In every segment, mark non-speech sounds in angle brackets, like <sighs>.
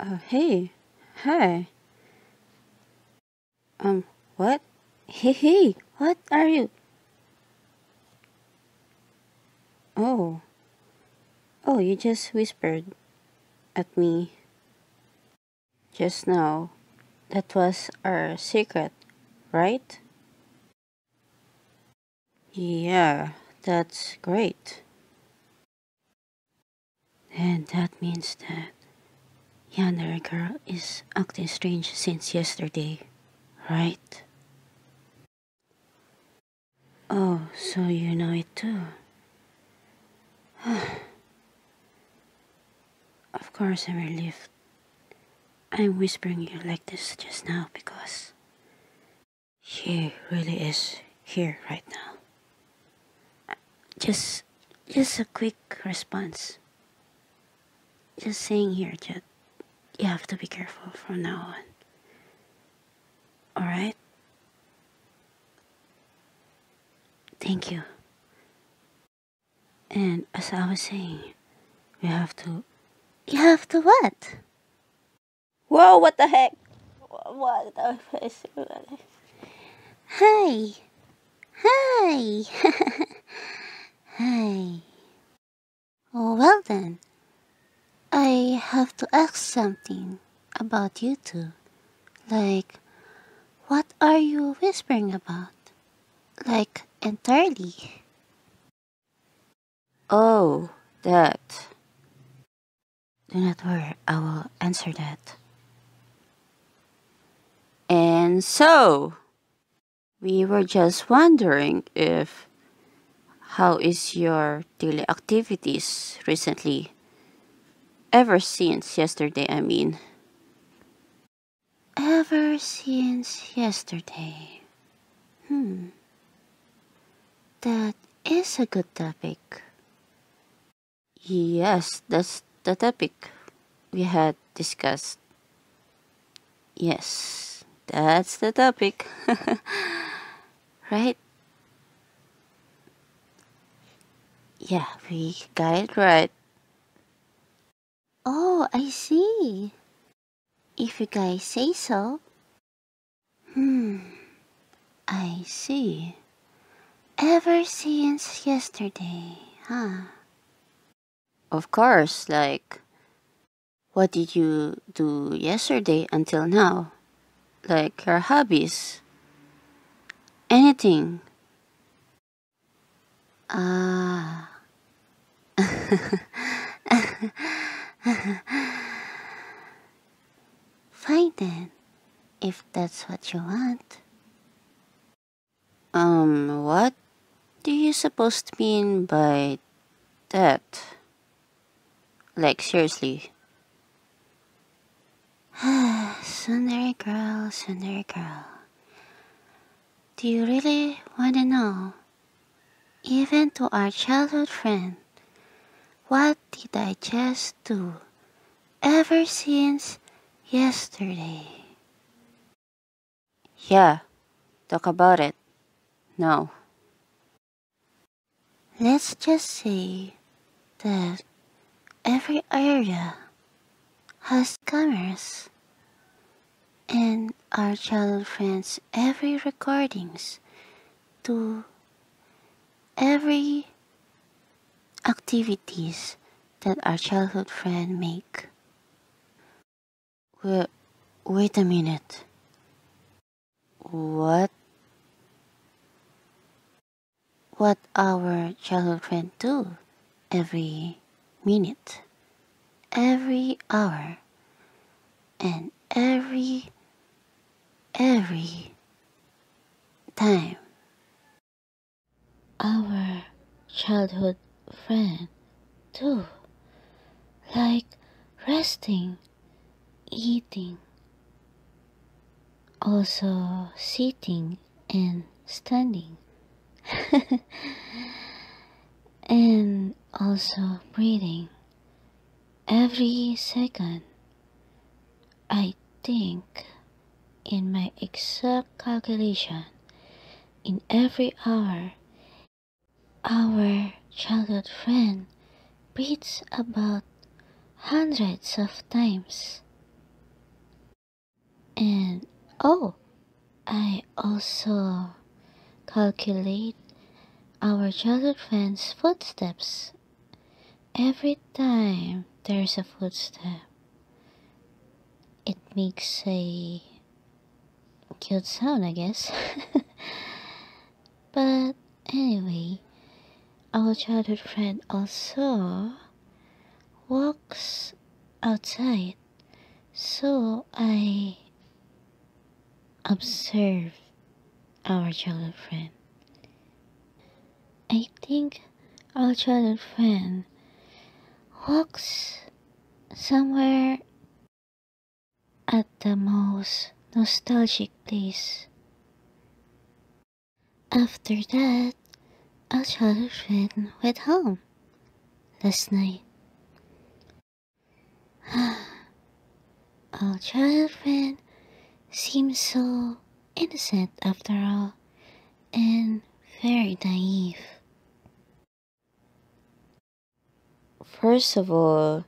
Oh hey, hi. Um, what? Hey, hey, what are you? Oh. Oh, you just whispered at me just now. That was our secret, right? Yeah, that's great. And that means that yandere girl is acting strange since yesterday, right? Oh, so you know it too. <sighs> of course I'm relieved. I'm whispering you like this just now because she really is here right now. Just, just a quick response. Just saying here that you have to be careful from now on. Alright? Thank you. And as I was saying, you have to. You have to what? Whoa, what the heck? What the heck? Hey, hey, <laughs> hey! Oh, well then, I have to ask something about you two. Like, what are you whispering about? Like, entirely. Oh, that. Do not worry, I will answer that. And so, we were just wondering if how is your daily activities recently? Ever since yesterday, I mean. Ever since yesterday. Hmm. That is a good topic. Yes, that's the topic we had discussed. Yes, that's the topic. <laughs> right? Yeah, we got it right. Oh, I see. If you guys say so. Hmm, I see. Ever since yesterday, huh? Of course, like, what did you do yesterday until now? Like your hobbies? Anything? Ah, <laughs> Fine then, if that's what you want. Um, what do you supposed to mean by that? Like, seriously. <sighs> Sundari girl, Sundari girl. Do you really want to know even to our childhood friend, what did I just do ever since yesterday? Yeah, talk about it. No. Let's just say that every area has cameras and our childhood friends every recordings to every activities that our childhood friend make. Well, wait a minute. What? What our childhood friend do every minute, every hour, and every, every time. Our childhood friend, too, like resting, eating, also sitting and standing, <laughs> and also breathing every second. I think in my exact calculation, in every hour, our childhood friend breathes about hundreds of times. And oh, I also calculate our childhood friend's footsteps. Every time there's a footstep, it makes a cute sound, I guess. <laughs> but anyway, our childhood friend also walks outside, so I observe our childhood friend. I think our childhood friend walks somewhere at the most nostalgic place. After that, our childhood friend went home last night. <sighs> Our child friend seems so innocent after all, and very naive. First of all,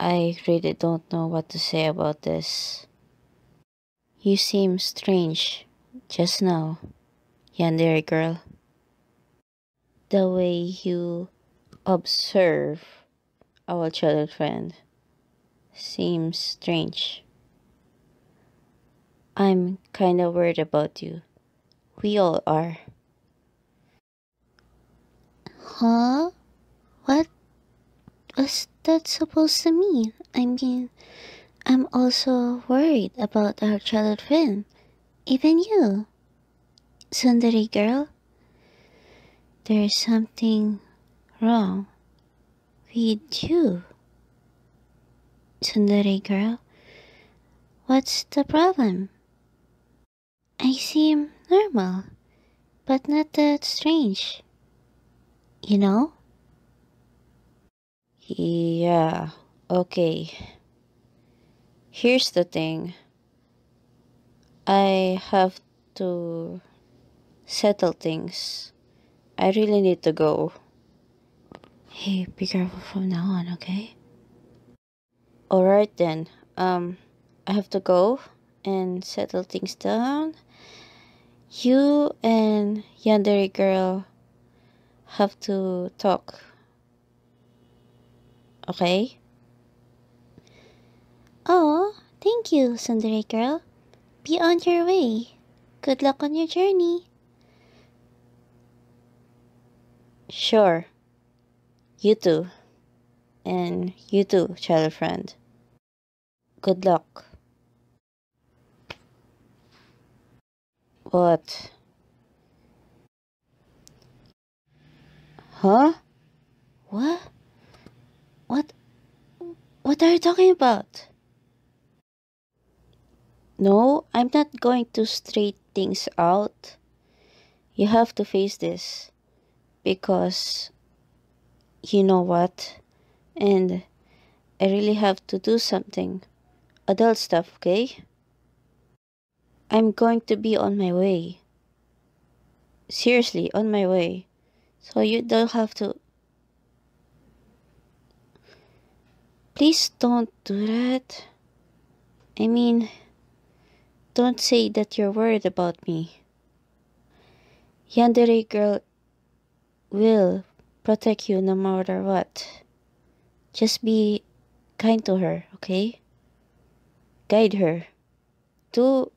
I really don't know what to say about this. You seem strange just now, young yandere girl the way you observe our childhood friend seems strange. I'm kinda worried about you. We all are. Huh? What was that supposed to mean? I mean, I'm also worried about our childhood friend. Even you. Sundari girl, there is something wrong with you. Sundari girl, what's the problem? I seem normal, but not that strange. You know? Yeah, okay. Here's the thing I have to settle things. I really need to go. Hey, be careful from now on, okay? Alright then. Um, I have to go and settle things down. You and Yandere girl have to talk Okay? Oh, thank you, Sundere girl. Be on your way. Good luck on your journey. Sure. You too. And you too, child friend. Good luck. What? Huh? What? What? What are you talking about? No, I'm not going to straight things out. You have to face this. Because, you know what? And I really have to do something. Adult stuff, okay? I'm going to be on my way. Seriously, on my way. So you don't have to. Please don't do that. I mean, don't say that you're worried about me. Yandere girl will protect you no matter what. Just be kind to her, okay? Guide her do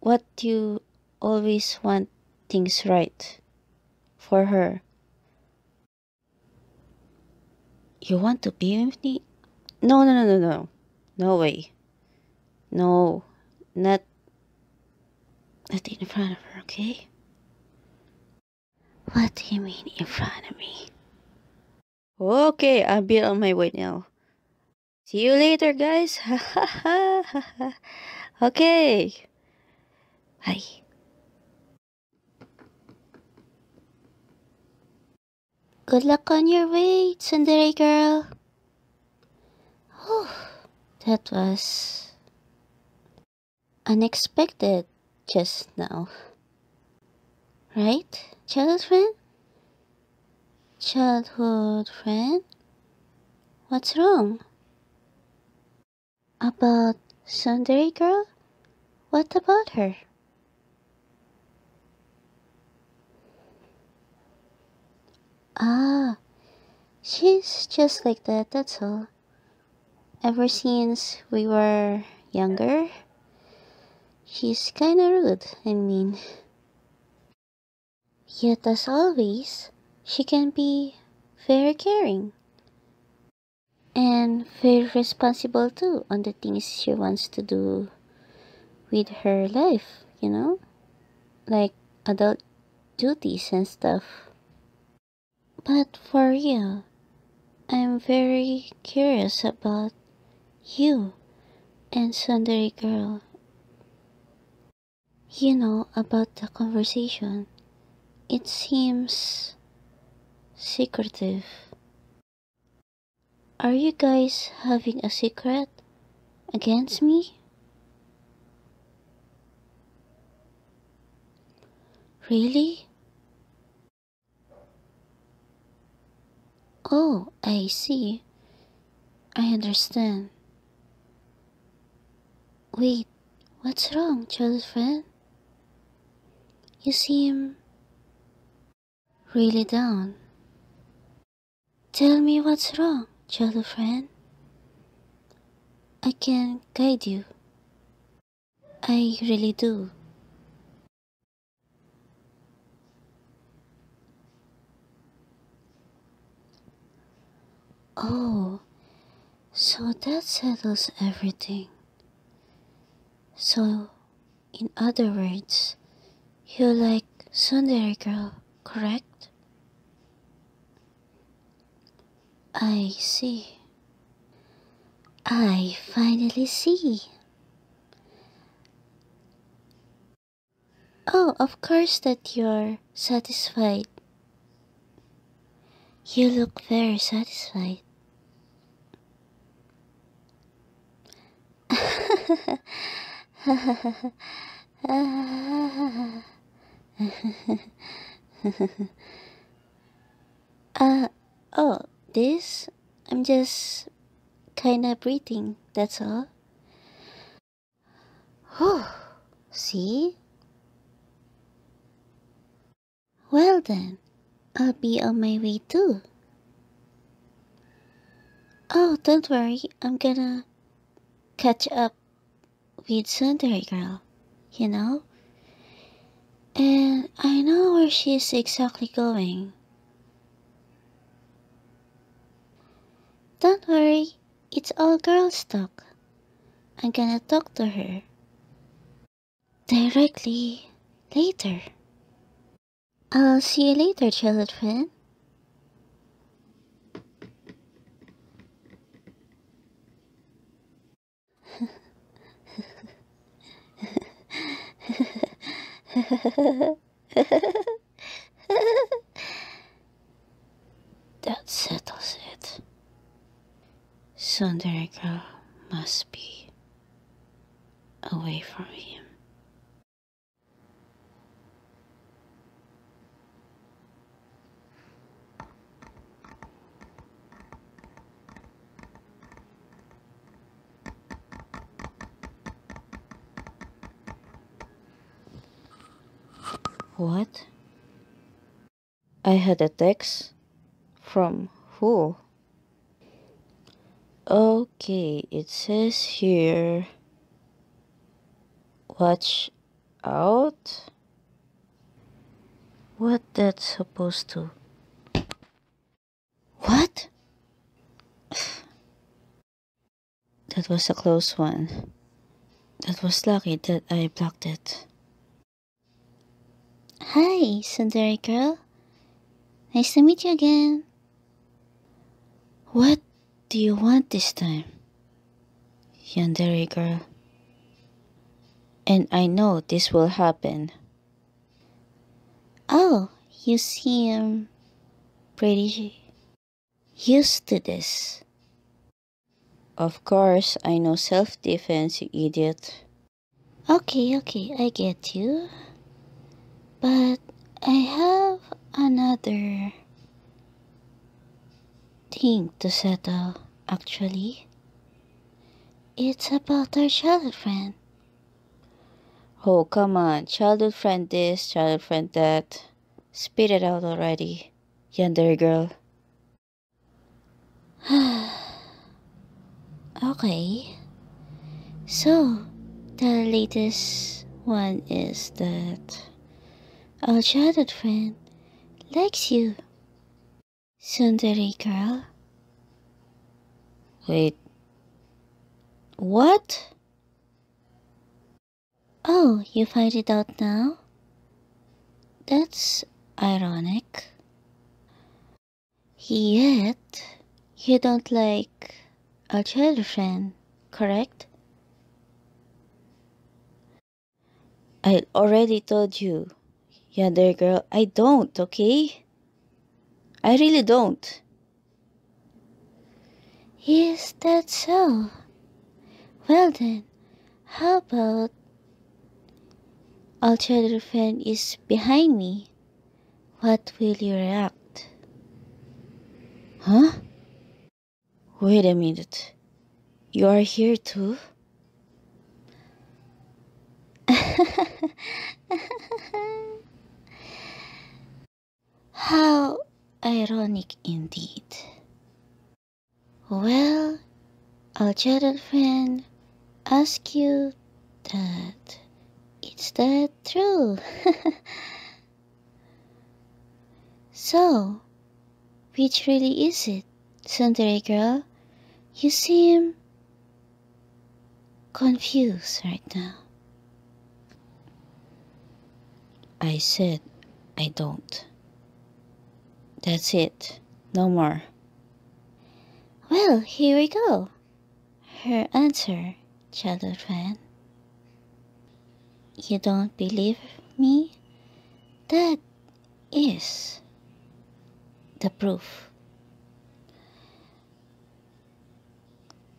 what you always want things right for her. You want to be with me? No, no, no, no, no. No way. No, not, not in front of her, okay? What do you mean in front of me? Okay, I'll be on my way now. See you later, guys. <laughs> okay. Bye. Good luck on your way, Tsundere girl. that was unexpected just now. Right? Childhood friend? Childhood friend? What's wrong? About Sunday girl? What about her? Ah, she's just like that, that's all. Ever since we were younger, She's kinda rude I mean. Yet, as always, she can be very caring and very responsible too on the things she wants to do with her life, you know? Like adult duties and stuff. But for real, I'm very curious about you and Sundari girl. You know about the conversation. It seems secretive. Are you guys having a secret against me? Really? Oh, I see. I understand. Wait, what's wrong, childhood friend? You seem really down. Tell me what's wrong, childhood friend. I can guide you. I really do. Oh, so that settles everything. So, in other words, you like Sundari girl, correct? I see. I finally see. Oh, of course that you're satisfied. You look very satisfied. <laughs> uh, oh, this I'm just kinda breathing, that's all. see? Well then, I'll be on my way too. Oh, don't worry, I'm gonna catch up with Sundari girl, you know? And I know where she's exactly going. Don't worry, it's all girls talk. I'm gonna talk to her. Directly later. I'll see you later, children. <laughs> <laughs> that settles it. Sundarika must be away from him. What? I had a text? From who? Okay, it says here Watch out? What that's supposed to? What? That was a close one. That was lucky that I blocked it. Hi, Sundari girl. Nice to meet you again. What do you want this time? Yandere girl. And I know this will happen. Oh, you see him pretty used to this. Of course, I know self-defense, idiot. Okay, okay, I get you. But I have another thing to settle, actually. It's about our friend. Oh, come on. Childhood friend this, childhood friend that. Spit it out already, yandere girl. <sighs> okay. So, the latest one is that our childhood friend likes you. Sundari girl. Wait. What? Oh, you find it out now? That's ironic. Yet, you don't like our friend, correct? I already told you, dear girl, I don't, okay? I really don't. Is that so? Well then, how about alternative fan is behind me? What will you react? Huh? Wait a minute. You are here too? <laughs> How ironic indeed. Well, our childhood friend ask you that. Is that true? <laughs> so, which really is it, Sundari girl? You seem confused right now. I said I don't. That's it. No more. Well, here we go. Her answer, childhood fan. You don't believe me? That is the proof.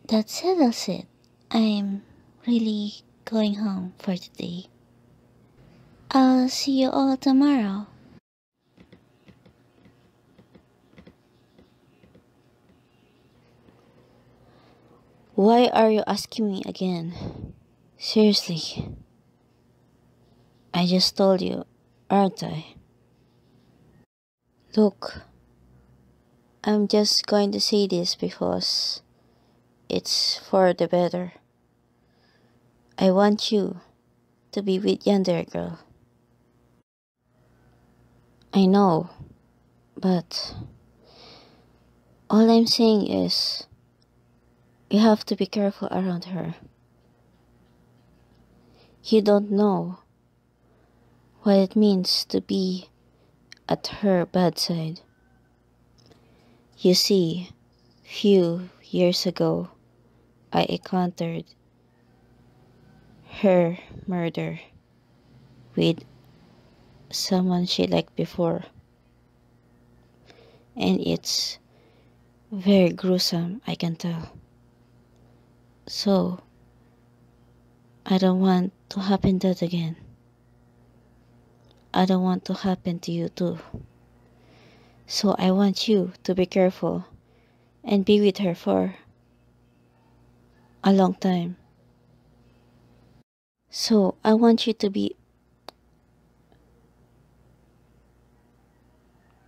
That settles it. I'm really going home for today. I'll see you all tomorrow. Why are you asking me again? Seriously. I just told you, aren't I? Look, I'm just going to say this because it's for the better. I want you to be with yonder girl. I know, but all I'm saying is you have to be careful around her. You don't know what it means to be at her bedside. You see, few years ago, I encountered her murder with someone she liked before. And it's very gruesome, I can tell. So, I don't want to happen that again. I don't want to happen to you too. So I want you to be careful and be with her for a long time. So I want you to be.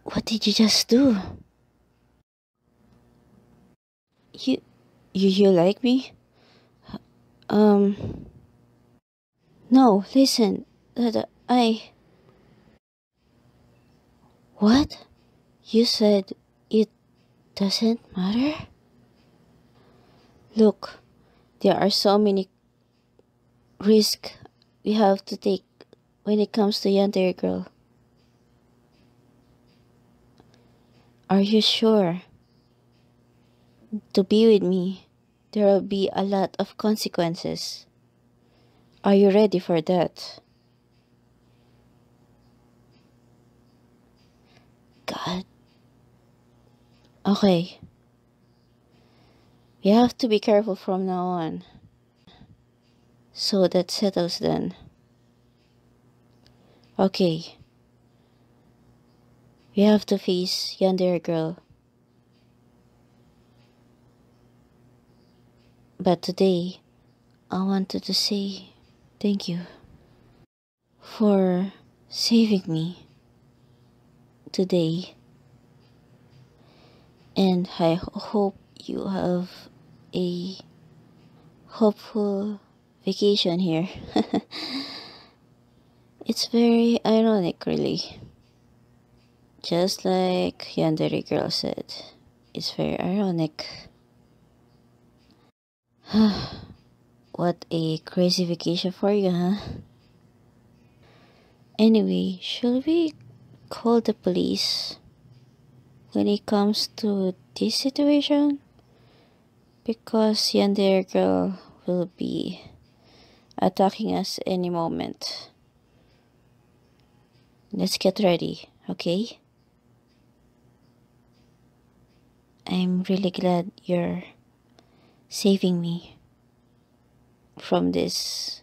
What did you just do? You, you, you like me? Um. No, listen. That I. What? You said it doesn't matter? Look, there are so many risks we have to take when it comes to the yonder girl. Are you sure? to be with me, there will be a lot of consequences. Are you ready for that? God. Okay. We have to be careful from now on. So that settles then. Okay. We have to face yonder girl. But today, I wanted to say thank you for saving me today. And I hope you have a hopeful vacation here. <laughs> it's very ironic, really. Just like Yandere Girl said, it's very ironic. <sighs> what a crazy vacation for you, huh? Anyway, should we call the police when it comes to this situation? because Yandere girl will be attacking us any moment. Let's get ready, okay? I'm really glad you're saving me from this.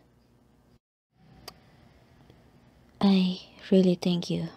I really thank you.